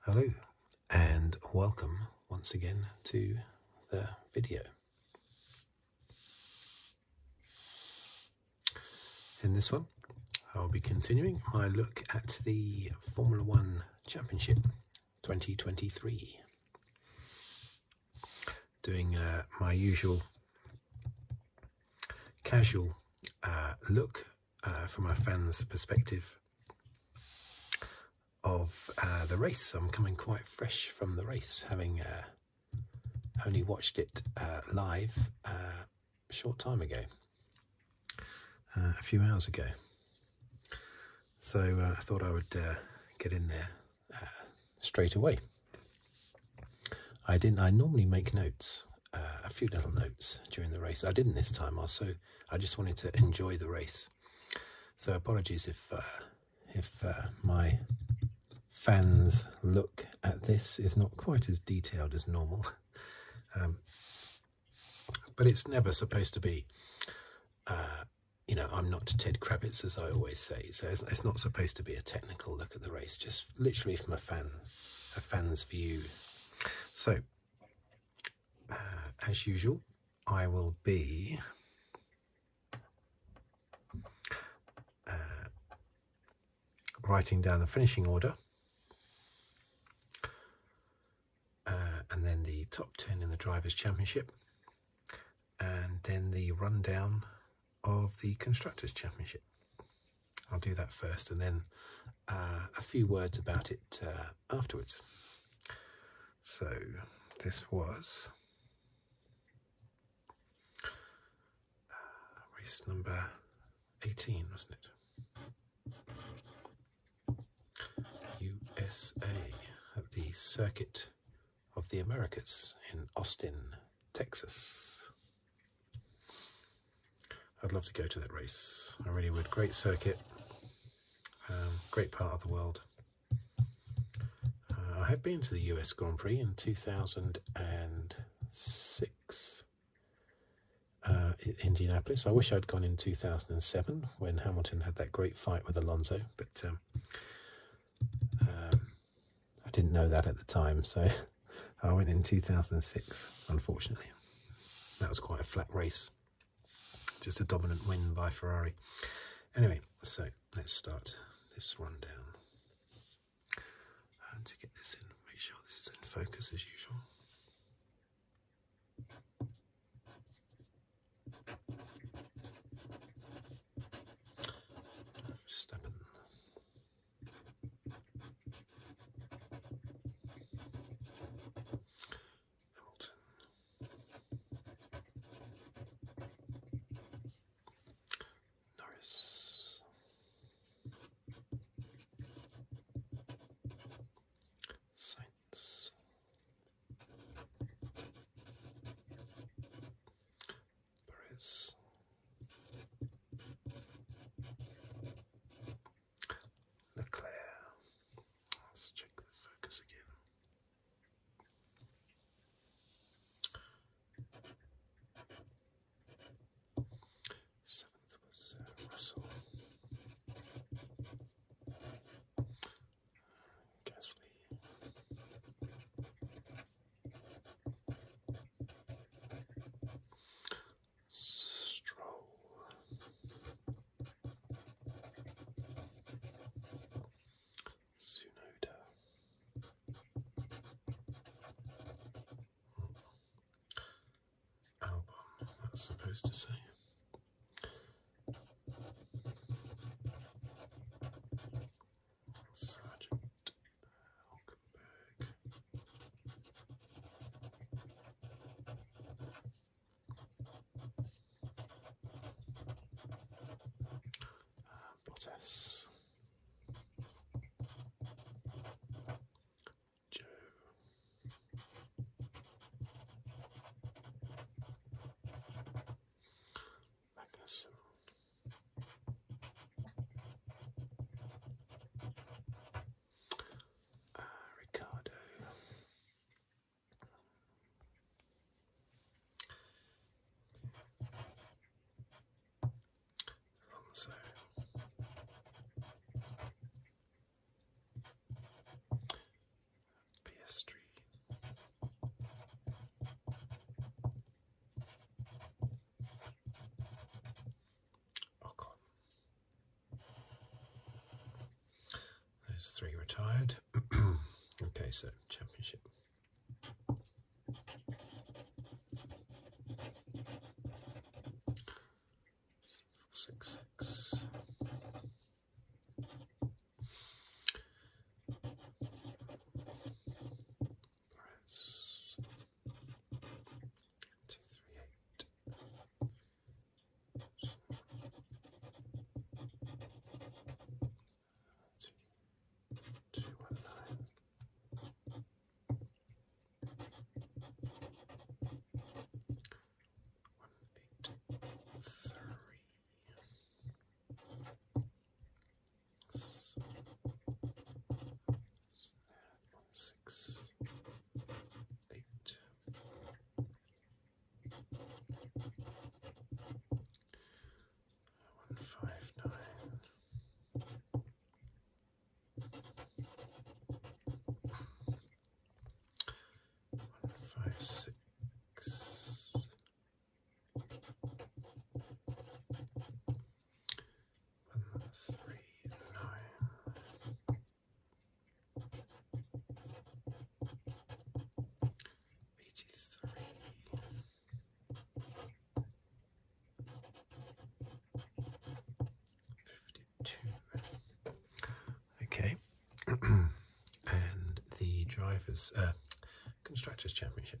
Hello and welcome once again to the video. In this one I'll be continuing my look at the Formula One Championship 2023. Doing uh, my usual casual uh, look uh, from a fan's perspective of uh, the race. I'm coming quite fresh from the race, having uh, only watched it live a short time ago, a few hours ago. So I thought I would get in there straight away. I didn't. I normally make notes uh, a few little notes during the race. I didn't this time. Also, I just wanted to enjoy the race. So apologies if uh, if uh, my fans' look at this is not quite as detailed as normal. Um, but it's never supposed to be. you know, I'm not Ted Kravitz, as I always say. So it's, it's, not supposed to be a technical look at the race. Just literally from a fan, a fan's view so, uh, as usual, I will be uh, writing down the finishing order uh, and then the top 10 in the Drivers' Championship and then the rundown of the Constructors' Championship. I'll do that first and then uh, a few words about it uh, afterwards. So this was uh, race number 18, wasn't it? USA at the Circuit of the Americas in Austin, Texas. I'd love to go to that race. I really would. Great circuit, um, great part of the world. Uh, I have been to the US Grand Prix in 2006 uh, in Indianapolis. I wish I'd gone in 2007 when Hamilton had that great fight with Alonso, but um, um, I didn't know that at the time, so I uh, went in 2006, unfortunately. That was quite a flat race. Just a dominant win by Ferrari. Anyway, so let's start this rundown. to get this in, make sure this is in focus as usual. Verstappen. Hamilton. Norris. Science. Paris. Leclerc. Let's check the focus again. Seventh was uh, Russell. Gasly stroll. Sunoda. Album, that's supposed to say. Sergeant Hulkenberg what else? Joe. Magnuson. Uh, Ricardo. Alonso. PS3. Ocon. Oh, Those three retired. okay, so championship two, three, eight. So, two, two, one, nine. One, eight, three. So, one, six, eight. One five nine. One five six. One three nine. Okay, and the drivers, uh, constructors championship.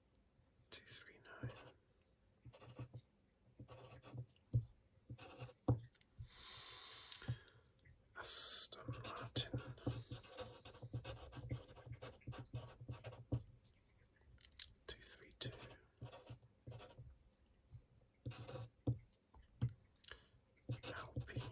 two, three, nine. Aston Martin. Two, three, two. Alpine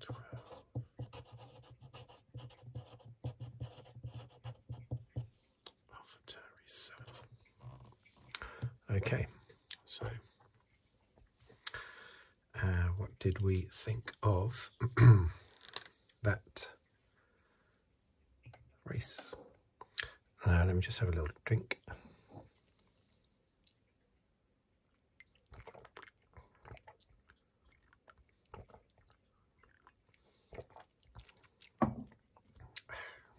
twelve, Alpha seven. Okay, so uh, what did we think of that race? Uh, let me just have a little drink.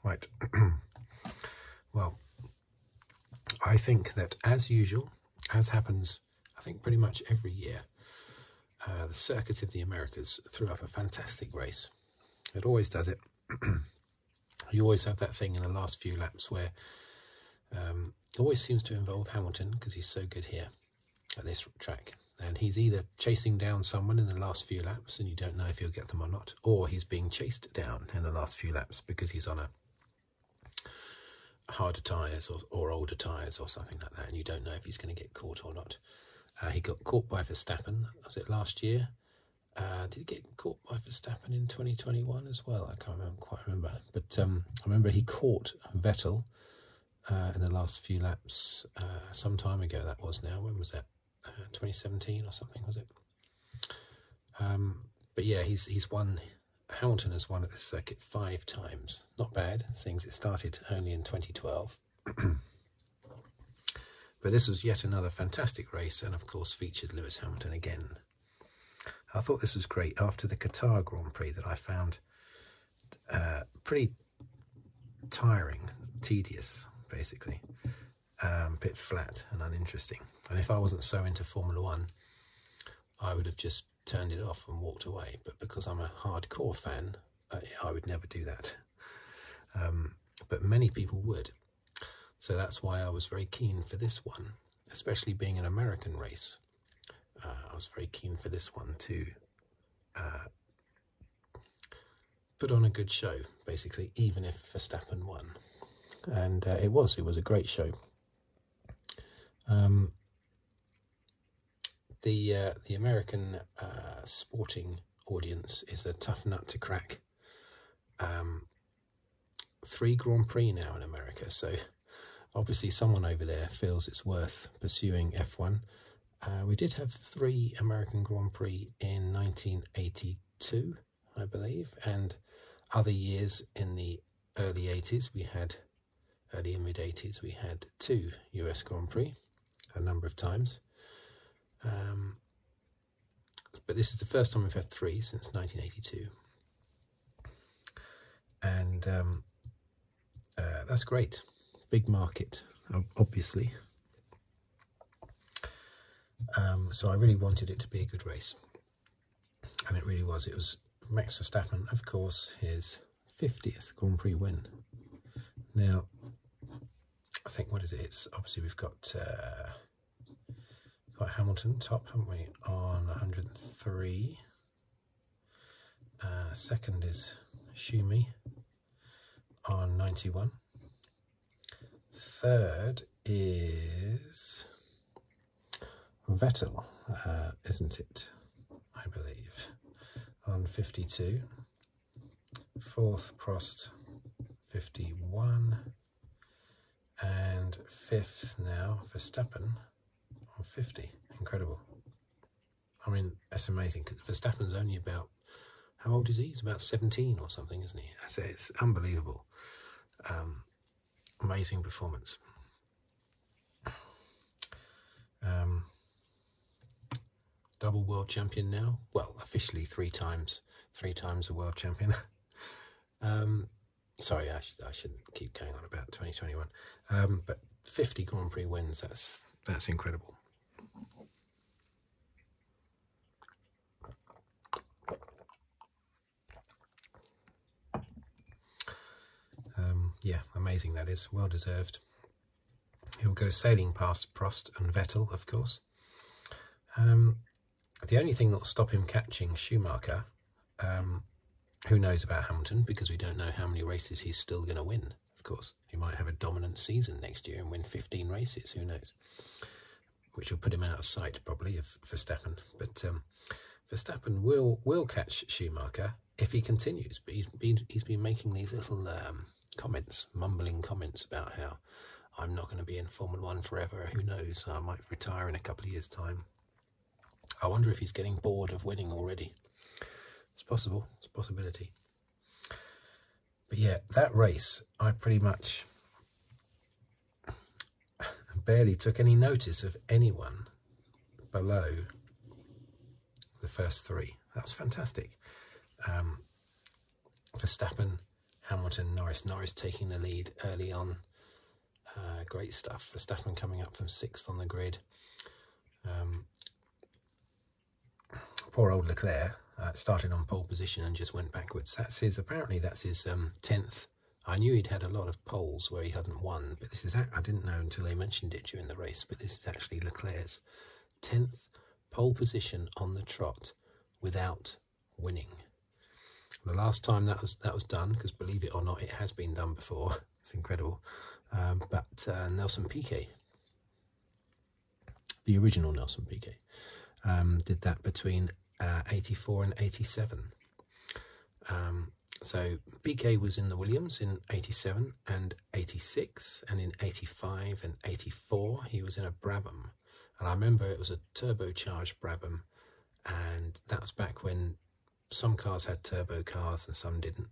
Right. well, I think that as usual, as happens, I think pretty much every year, uh, the Circuit of the Americas threw up a fantastic race. It always does it. you always have that thing in the last few laps where um, um, always seems to involve Hamilton because he's so good here at this track. And he's either chasing down someone in the last few laps and you don't know if he'll get them or not, or he's being chased down in the last few laps because he's on a harder tyres or, or, older tyres or something like that, and you don't know if he's going to get caught or not. Uh, he got caught by Verstappen, was it last year? Uh, did he get caught by Verstappen in 2021 as well? I can't quite remember. But um, I remember he caught Vettel uh, in the last few laps uh, some time ago. That was now. When was that? Uh, 2017 or something was it? Um, but yeah, he's he's won. Hamilton has won at this circuit five times. Not bad, seeing it started only in 2012. but this was yet another fantastic race, and of course featured Lewis Hamilton again I thought this was great after the Qatar Grand Prix that I found uh, pretty tiring, tedious, basically. a um, bit flat and uninteresting. And if I wasn't so into Formula One, I would have just turned it off and walked away. But because I'm a hardcore fan, I, would never do that. Um, but many people would. So that's why I was very keen for this one, especially being an American race, uh, I was very keen for this one to uh, put on a good show, basically, even if Verstappen won, and uh, it was it was a great show. Um, the the American sporting audience is a tough nut to crack. Um, three Grand Prix now in America, so obviously someone over there feels it's worth pursuing F1. Uh, we did have three American Grand Prix in 1982, I believe, and other years in the early 80s, we had, early and mid 80s, we had two US Grand Prix a number of times. Um, but this is the first time we've had three since 1982 and um, uh, that's great. Big market, obviously. Um, so I really wanted it to be a good race, and it really was. It was Max Verstappen, of course, his 50th Grand Prix win. Now, I think what is it? It's obviously we've got uh, got Hamilton top, haven't we, on 103 uh, second is Shumi on 91. Third is Vettel, uh, isn't it? I believe, on 52. Fourth, Prost, 51 and fifth now Verstappen on 50. Incredible. I mean, that's amazing. Verstappen's only about, how old is he? He's about 17 or something, isn't he? I say it's unbelievable. Um, amazing performance. Um, double world champion now. Well, officially three times, three times a world champion. Um, sorry, I, sh I, shouldn't keep going on about 2021. Um, but 50 Grand Prix wins, that's, that's incredible. Um, yeah, amazing that is. Well deserved. He'll go sailing past Prost and Vettel, of course. Um, the only thing that will stop him catching Schumacher um, who knows about Hamilton because we don't know how many races he's still going to win, of course. He might have a dominant season next year and win 15 races, who knows? Which will put him out of sight probably of Verstappen. But um, Verstappen will will catch Schumacher if he continues. But he's been, he's been making these little um, comments, mumbling comments about how I'm not going to be in Formula One forever. Who knows? I might retire in a couple of years' time. I wonder if he's getting bored of winning already. It's possible, it's a possibility. But yeah, that race, I pretty much barely took any notice of anyone below the first three. That was fantastic. Um, Verstappen, Hamilton, Norris. Norris taking the lead early on uh, great stuff. Verstappen coming up from sixth on the grid. Um, poor old Leclerc uh, started on pole position and just went backwards. That's his, apparently that's his 10th. Um, I knew he'd had a lot of poles where he hadn't won, but this is, I didn't know until they mentioned it during the race, but this is actually Leclerc's 10th pole position on the trot without winning. The last time that was that was done, because believe it or not, it has been done before, it's incredible. Um, but uh, Nelson Piquet, the original Nelson Piquet, um, did that between uh, 84 and 87. Um, so Piquet was in the Williams in 87 and 86, and in 85 and 84 he was in a Brabham. And I remember it was a turbocharged Brabham, and that was back when some cars had turbo cars and some didn't.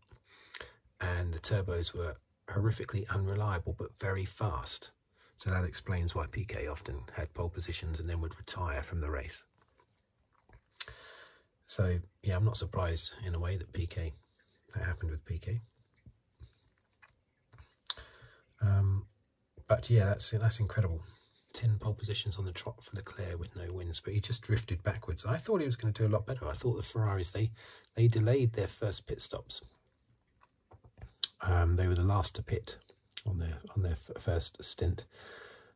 And the turbos were horrifically unreliable but very fast. So that explains why PK often had pole positions and then would retire from the race. So, yeah, I'm not surprised in a way that PK, that happened with PK. Um, but yeah, that's that's incredible. 10 pole positions on the trot for Leclerc with no wins, but he just drifted backwards. I thought he was going to do a lot better. I thought the Ferraris, they, they delayed their first pit stops. Um, they were the last to pit on their on their first stint,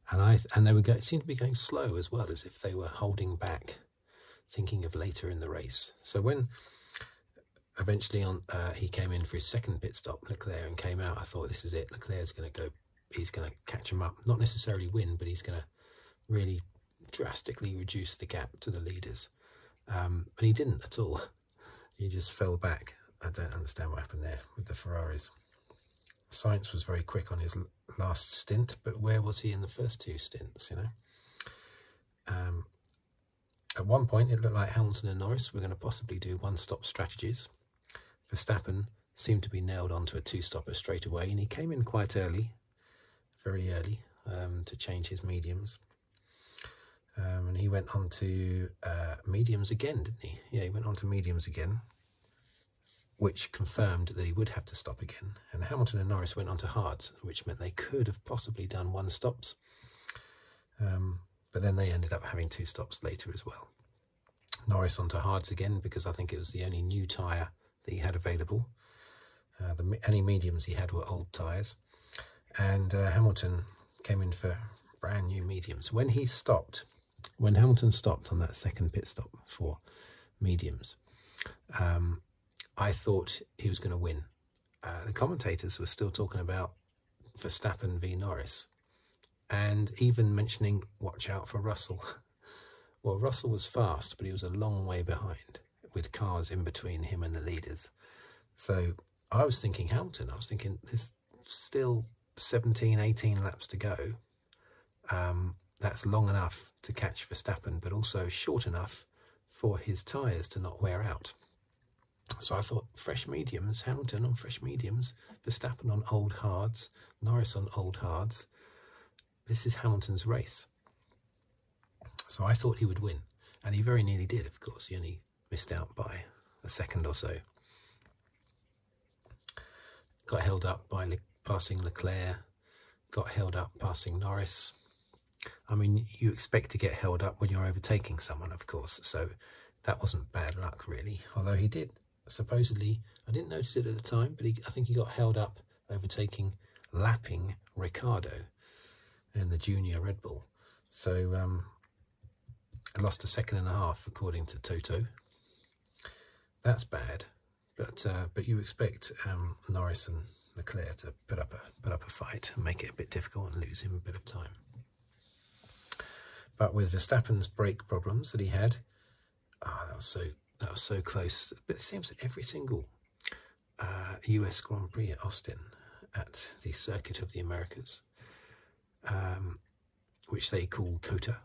and I and they were going seemed to be going slow as well, as if they were holding back, thinking of later in the race. So when eventually on uh, he came in for his second pit stop, Leclerc, and came out, I thought this is it. Leclerc's going to go he's going to catch him up. Not necessarily win, but he's going to really drastically reduce the gap to the leaders. Um, and he didn't at all. He just fell back. I don't understand what happened there with the Ferraris. Science was very quick on his last stint, but where was he in the first two stints, you know? Um, at one point, it looked like Hamilton and Norris were going to possibly do one-stop strategies Verstappen seemed to be nailed onto a two-stopper straight away, and he came in quite early, very early, um, to change his mediums. Um, and he went on to uh, mediums again, didn't he? Yeah, he went on to mediums again, which confirmed that he would have to stop again. And Hamilton and Norris went on to hards, which meant they could have possibly done one stops. Um, but then they ended up having two stops later as well. Norris onto hards again because I think it was the only new tyre that he had available. Uh, the only mediums he had were old tyres. And uh, Hamilton came in for brand new mediums. When he stopped, when Hamilton stopped on that second pit stop for mediums, um, I thought he was going to win. Uh, the commentators were still talking about Verstappen v Norris and even mentioning watch out for Russell. Well, Russell was fast, but he was a long way behind with cars in between him and the leaders. So I was thinking Hamilton. I was thinking there's still 17, 18 laps to go. Um, that's long enough to catch Verstappen, but also short enough for his tyres to not wear out. So I thought fresh mediums, Hamilton on fresh mediums, Verstappen on old hards, Norris on old hards. This is Hamilton's race. So I thought he would win, and he very nearly did, of course. He only missed out by a second or so. Got held up by Le passing Leclerc, got held up passing Norris. I mean, you expect to get held up when you're overtaking someone, of course, so that wasn't bad luck, really, although he did supposedly, I didn't notice it at the time, but I think he got held up overtaking, lapping Ricardo in the junior Red Bull. So um, I lost a second and a half, according to Toto. That's bad, but uh, but you expect um, Norris and Leclerc to put up a put up a fight and make it a bit difficult and lose him a bit of time. But with Verstappen's brake problems that he had, Ah, that was so that was so close. But it seems that every single U.S. Uh, Grand Prix at Austin, at the Circuit of the Americas, um, which they call COTA,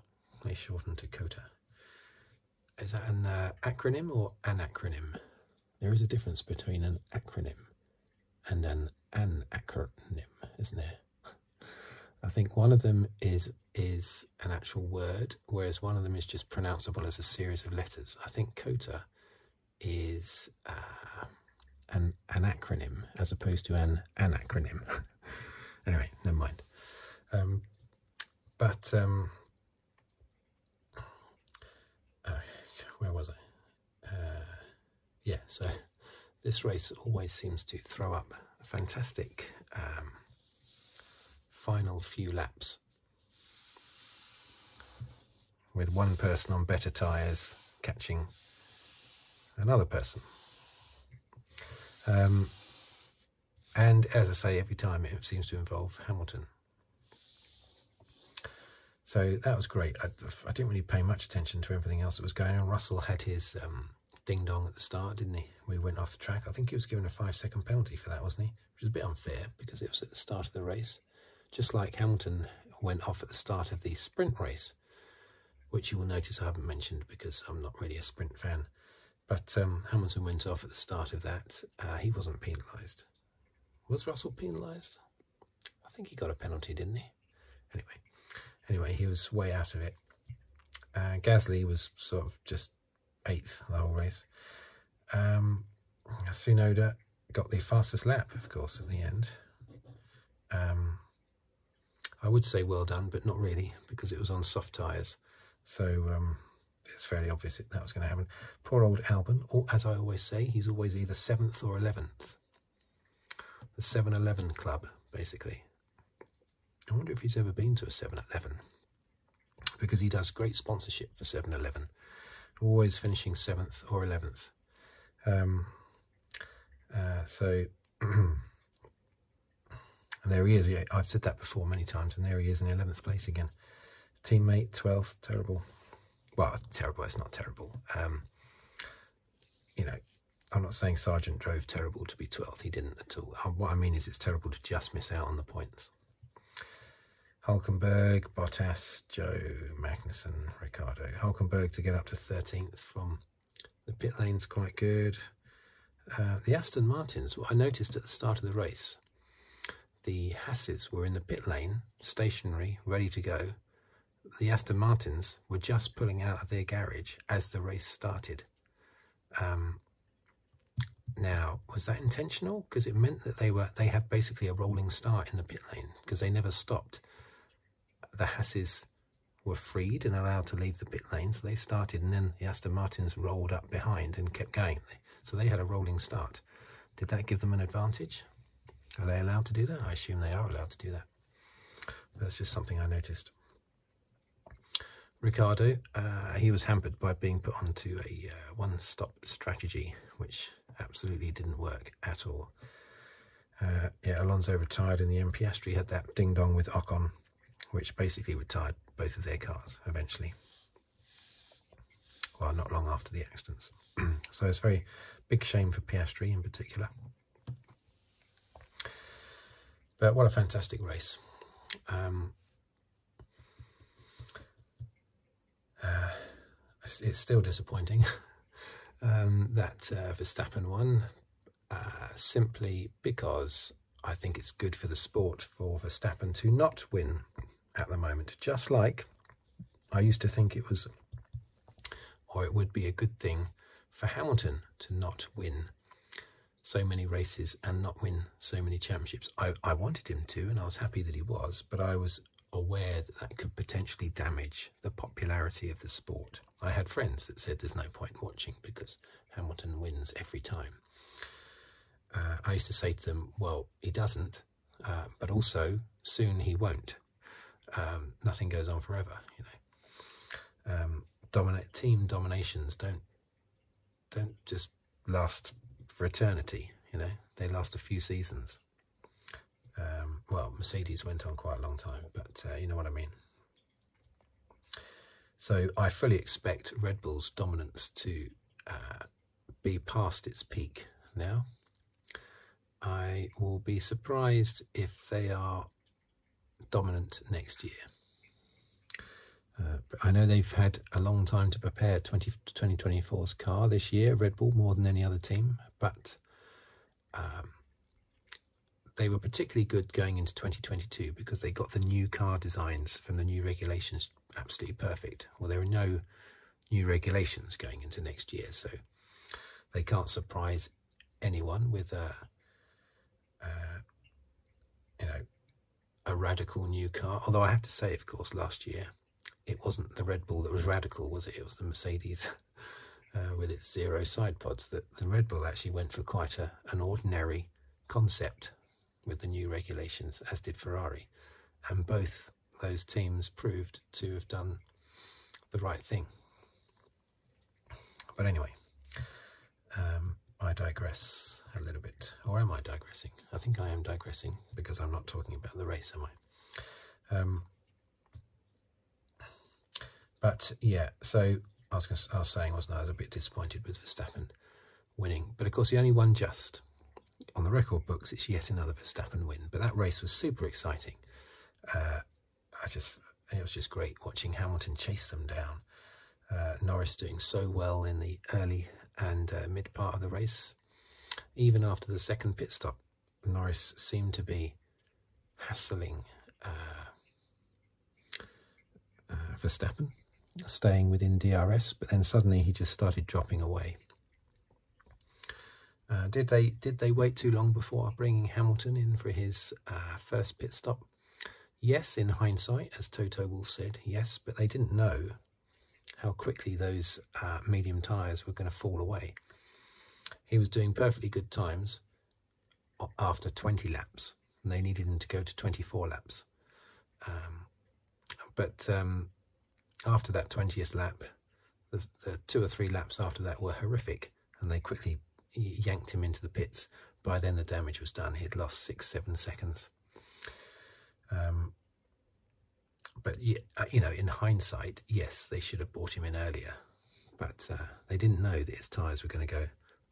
they shorten to COTA. Is that an uh, acronym or an acronym? There is a difference between an acronym and an anacronym, isn't there? I think one of them is is an actual word, whereas one of them is just pronounceable as a series of letters. I think COTA is uh, an an acronym as opposed to an acronym. anyway, never mind. Um, but um, uh, where was I? Uh, yeah, so this race always seems to throw up fantastic um, final few laps. With one person on better tyres catching another person. Um, and as I say, every time it seems to involve Hamilton. So that was great. I, didn't really pay much attention to everything else that was going on. Russell had his um, ding dong at the start, didn't he? We went off the track. I think he was given a five second penalty for that, wasn't he? Which is a bit unfair because it was at the start of the race, just like Hamilton went off at the start of the sprint race, which you will notice I haven't mentioned because I'm not really a sprint fan. But um, Hamilton went off at the start of that. Uh, he wasn't penalised. Was Russell penalised? I think he got a penalty, didn't he? Anyway, anyway, he was way out of it. Gasly was sort of just eighth the whole race. Um, Sunoda got the fastest lap, of course, at the end. Um, I would say well done, but not really, because it was on soft tyres. So um, it's fairly obvious that, that was going to happen. Poor old Albon, as I always say, he's always either 7th or 11th. The 7-Eleven club, basically. I wonder if he's ever been to a 7 Eleven because he does great sponsorship for 7 Eleven, always finishing 7th or 11th. Um, uh, so there he is. Yeah, I've said that before many times, and there he is in 11th place again. Teammate 12th, terrible. Well, terrible, it's not terrible. Um, you know, I'm not saying Sargent drove terrible to be 12th, he didn't at all. Uh, what I mean is it's terrible to just miss out on the points. Hulkenberg, Bottas, Joe Magnussen, Ricardo. Hulkenberg to get up to 13th from the pit lane's quite good. Uh, the Aston Martins, what I noticed at the start of the race, the Hasses were in the pit lane, stationary, ready to go. The Aston Martins were just pulling out of their garage as the race started. Um, now, was that intentional? Because it meant that they were they had basically a rolling start in the pit lane because they never stopped. The Hasses were freed and allowed to leave the pit lane, so they started, and then the Aston Martins rolled up behind and kept going. So they had a rolling start. Did that give them an advantage? Are they allowed to do that? I assume they are allowed to do that. That's just something I noticed. Ricardo, uh, he was hampered by being put onto a uh, one-stop strategy, which absolutely didn't work at all. Uh, yeah, Alonso retired in the M. Piastri had that ding-dong with Ocon, which basically retired both of their cars eventually. Well, not long after the accidents. so it's very big shame for Piastri in particular. But what a fantastic race. Um, uh, it's, still disappointing um, that uh, Verstappen won, uh, simply because I think it's good for the sport for Verstappen to not win at the moment. Just like I used to think it was, or it would be a good thing for Hamilton to not win so many races and not win so many championships. I, I wanted him to, and I was happy that he was, but I was aware that that could potentially damage the popularity of the sport. I had friends that said there's no point watching because Hamilton wins every time. Uh, I used to say to them, well, he doesn't, uh, but also soon he won't. Um, nothing goes on forever, you know. Um, team dominations don't don't just last for eternity, you know, they last a few seasons. Um, well, Mercedes went on quite a long time, but uh, you know what I mean. So I fully expect Red Bull's dominance to uh, be past its peak now. I will be surprised if they are dominant next year. Uh, I know they've had a long time to prepare 20, 2024's car this year, Red Bull, more than any other team, but um, they were particularly good going into 2022 because they got the new car designs from the new regulations absolutely perfect. Well, there are no new regulations going into next year, so they can't surprise anyone with a, uh, uh, you know, a radical new car. Although I have to say, of course, last year it wasn't the Red Bull that was radical, was it? It was the Mercedes uh, with its zero side pods that the Red Bull actually went for quite an ordinary concept with the new regulations, as did Ferrari. And both those teams proved to have done the right thing. But anyway, um, I digress a little bit. Or am I digressing? I think I am digressing because I'm not talking about the race, am I? Um, but yeah, so I was, saying, wasn't I? I was a bit disappointed with Verstappen winning. But of course, he only won just. On the record books, it's yet another Verstappen win. But that race was super exciting. Uh, I just it was just great watching Hamilton chase them down. Uh, Norris doing so well in the early and uh, mid part of the race. Even after the second pit stop, Norris seemed to be hassling uh, uh Verstappen, staying within DRS, but then suddenly he just started dropping away. did they did they wait too long before bringing Hamilton in for his first pit stop? Yes, in hindsight, as Toto Wolf said, yes, but they didn't know how quickly those uh, medium tyres were going to fall away. He was doing perfectly good times after 20 laps, and they needed him to go to 24 laps. Um, but um, after that 20th lap, the two or three laps after that were horrific, and they quickly yanked him into the pits. By then the damage was done. He'd lost six, seven seconds. Um, but uh, you know, in hindsight, yes, they should have brought him in earlier. But uh, they didn't know that his tyres were going to go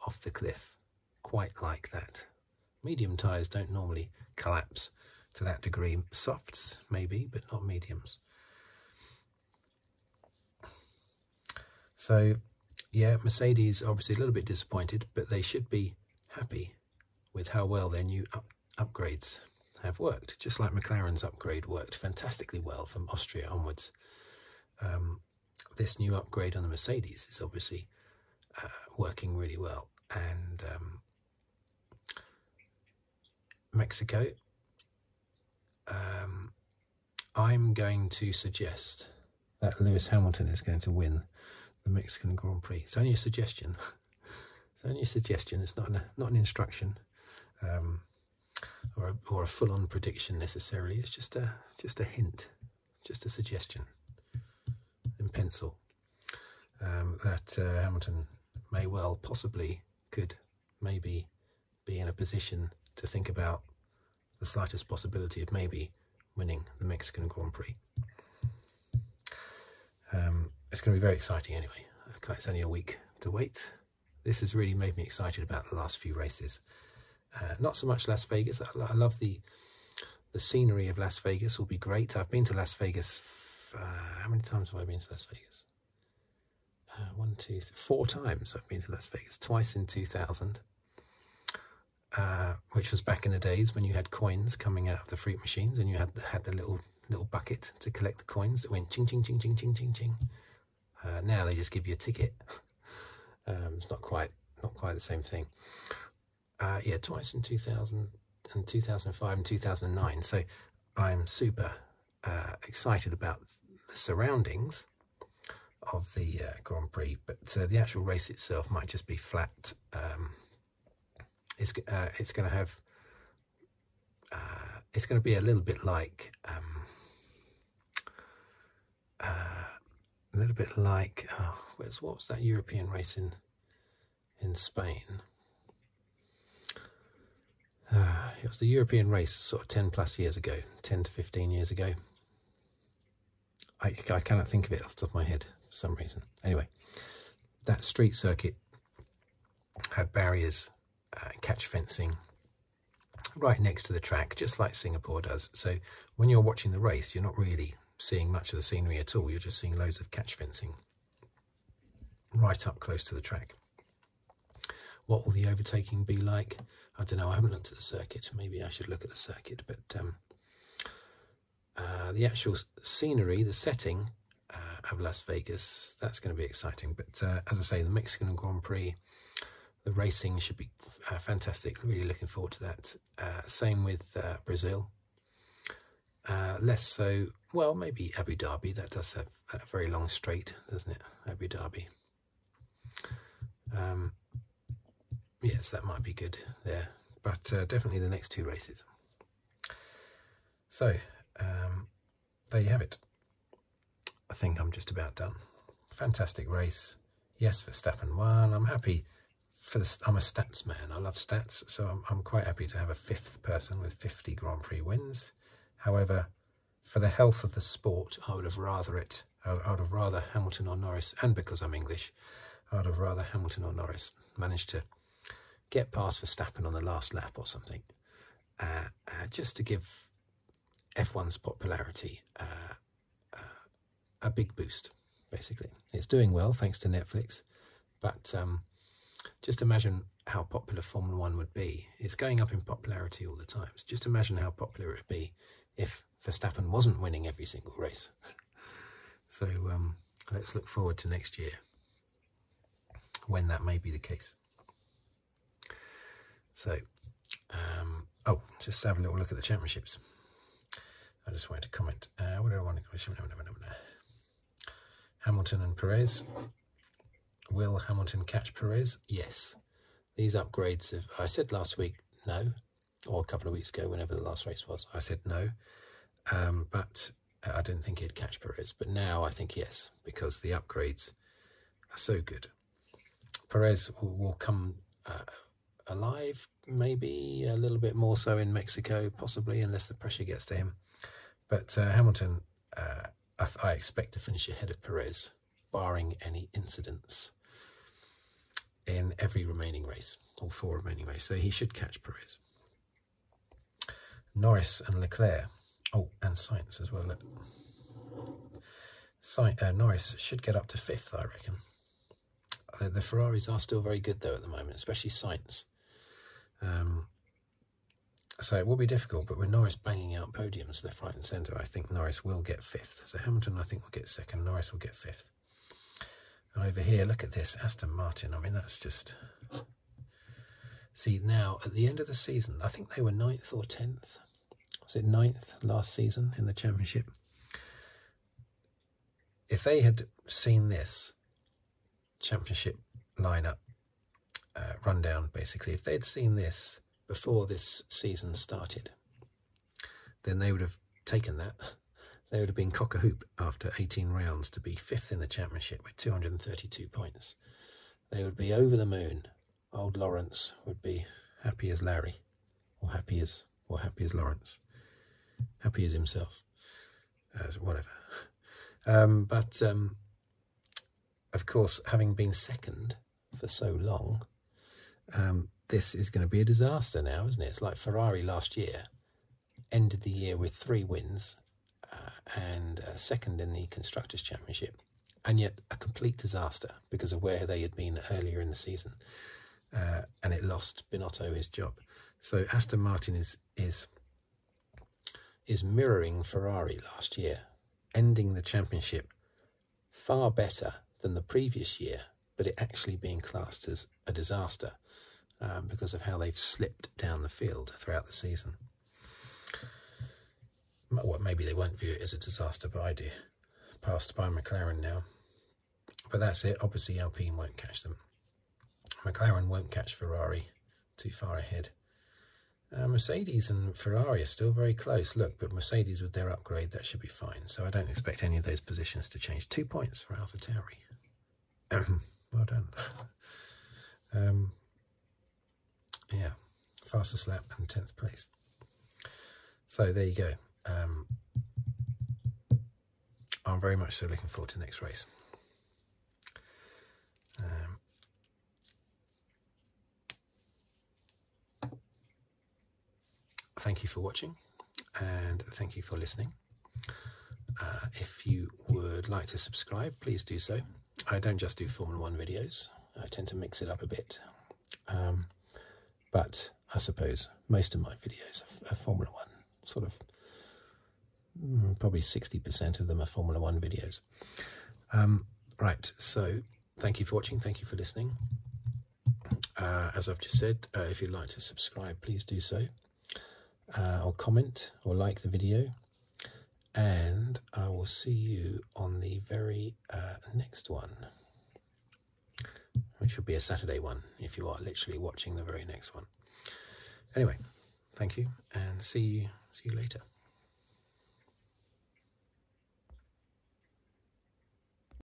off the cliff quite like that. Medium tyres don't normally collapse to that degree. Softs, maybe, but not mediums. So, yeah, Mercedes obviously a little bit disappointed, but they should be happy with how well their new upgrades have worked, just like McLaren's upgrade worked fantastically well from Austria onwards. Um, this new upgrade on the Mercedes is obviously uh, working really well. And um, Mexico, um, I'm going to suggest that Lewis Hamilton is going to win the Mexican Grand Prix. It's only a suggestion. it's only a suggestion. It's not an, not an instruction um, or a, full-on prediction necessarily. It's just a just a hint, just a suggestion in pencil um, that uh, Hamilton may well possibly could maybe be in a position to think about the slightest possibility of maybe winning the Mexican Grand Prix. Um, it's going to be very exciting anyway. it's only a week to wait. This has really made me excited about the last few races. Uh, not so much Las Vegas. I, love the the scenery of Las Vegas. Will be great. I've been to Las Vegas. Uh, how many times have I been to Las Vegas? Uh, one, two, four times I've been to Las Vegas. Twice in 2000, uh, which was back in the days when you had coins coming out of the fruit machines and you had had the little little bucket to collect the coins that went ching ching ching ching ching ching uh, now they just give you a ticket. Um, it's not quite not quite the same thing. Uh, yeah, twice in 2000 and 2005 and 2009. So I'm super excited about the surroundings of the uh, Grand Prix, but uh, the actual race itself might just be flat. Um, it's uh, it's going to have it's going to be a little bit like um, a little bit like oh, where's what was that European race in in Spain? it was the European race, sort of ten plus years ago, ten to fifteen years ago. I, cannot think of it off the top of my head for some reason. Anyway, that street circuit had barriers, uh, and catch fencing right next to the track, just like Singapore does. So when you're watching the race, you're not really seeing much of the scenery at all. You're just seeing loads of catch fencing right up close to the track. What will the overtaking be like? I don't know, I haven't looked at the circuit. Maybe I should look at the circuit, but um, uh, the actual scenery, the setting uh, of Las Vegas, that's going to be exciting. But uh, as I say, the Mexican Grand Prix, the racing should be fantastic. Really looking forward to that. same with Brazil. less so, well, maybe Abu Dhabi. That does have a very long straight, doesn't it? Abu Dhabi. Um, yes, that might be good there, but uh, definitely the next two races. So, um, there you have it. I think I'm just about done. Fantastic race. Yes, for Verstappen won. I'm happy for I'm a stats man. I love stats, so I'm quite happy to have a fifth person with 50 Grand Prix wins. However, for the health of the sport, I would have rather it England, I would have rather Hamilton or Norris, and because I'm English, I would have rather Hamilton or Norris managed to get past Verstappen on the last lap or something, uh, uh, just to give F1's popularity uh, a big boost, basically. It's doing well, thanks to Netflix, but um, just imagine how popular Formula One would be. It's going up in popularity all the time. So just imagine how popular it would be if Verstappen wasn't winning every single race. so um, let's look forward to next year when that may be the case. So, um, oh, just have a little look at the championships. I just wanted to comment. Uh, what did I want Hamilton and Perez. Will Hamilton catch Perez? Yes. These upgrades have. I said last week, no, or a couple of weeks ago, whenever the last race was, I said no. Um, but I didn't think he'd catch Perez. But now I think yes, because the upgrades are so good. Perez will, come uh, alive, maybe a little bit more so in Mexico, possibly, unless the pressure gets to him. But uh, Hamilton, uh, I expect to finish ahead of Perez, barring any incidents in every remaining race, all four remaining races. So he should catch Perez. Norris and Leclerc. Oh, and Science as well. Look. Uh, Norris should get up to fifth, I reckon. Uh, the, Ferraris are still very good, though, at the moment, especially Science. Um, so it will be difficult, but with Norris banging out podiums left, right, and centre, I think Norris will get fifth. So Hamilton, I think, will get second. Norris will get fifth. And over here, look at this Aston Martin. I mean, that's just. See, now at the end of the season, I think they were ninth or tenth. Was it ninth last season in the championship? If they had seen this championship lineup uh, rundown, basically, if they had seen this before this season started, then they would have taken that. They would have been cock a hoop after 18 rounds to be fifth in the championship with 232 points. They would be over the moon. Old Lawrence would be happy as Larry, or happy as, or happy as Lawrence, happy as himself, uh, whatever. Um, but um, of course, having been second for so long, um, this is going to be a disaster now, isn't it? It's like Ferrari last year ended the year with three wins uh, and uh, second in the Constructors' Championship, and yet a complete disaster because of where they had been earlier in the season. Uh, and it lost Binotto his job. So Aston Martin is is is mirroring Ferrari last year, ending the championship far better than the previous year, but it actually being classed as a disaster um, because of how they've slipped down the field throughout the season. Well, maybe they won't view it as a disaster, but I do. Passed by McLaren now. But that's it. Obviously, Alpine won't catch them. McLaren won't catch Ferrari too far ahead. Uh, Mercedes and Ferrari are still very close. Look, but Mercedes with their upgrade, that should be fine so I don't expect any of those positions to change. Two points for Alpha Tauri. well done. Um, yeah, fastest lap and 10th place. So there you go. Um, I'm very much so looking forward to next race. Um, Thank you for watching and thank you for listening. Uh, if you would like to subscribe, please do so. I don't just do Formula One videos, I tend to mix it up a bit. Um, but I suppose most of my videos are, Formula One, sort of mm, probably 60% of them are Formula One videos. Um, right, so thank you for watching, thank you for listening. Uh, as I've just said, uh, if you'd like to subscribe, please do so, uh, or comment or like the video. And I will see you on the very next one, which will be a Saturday one if you are literally watching the very next one. Anyway, thank you and see you, see you later.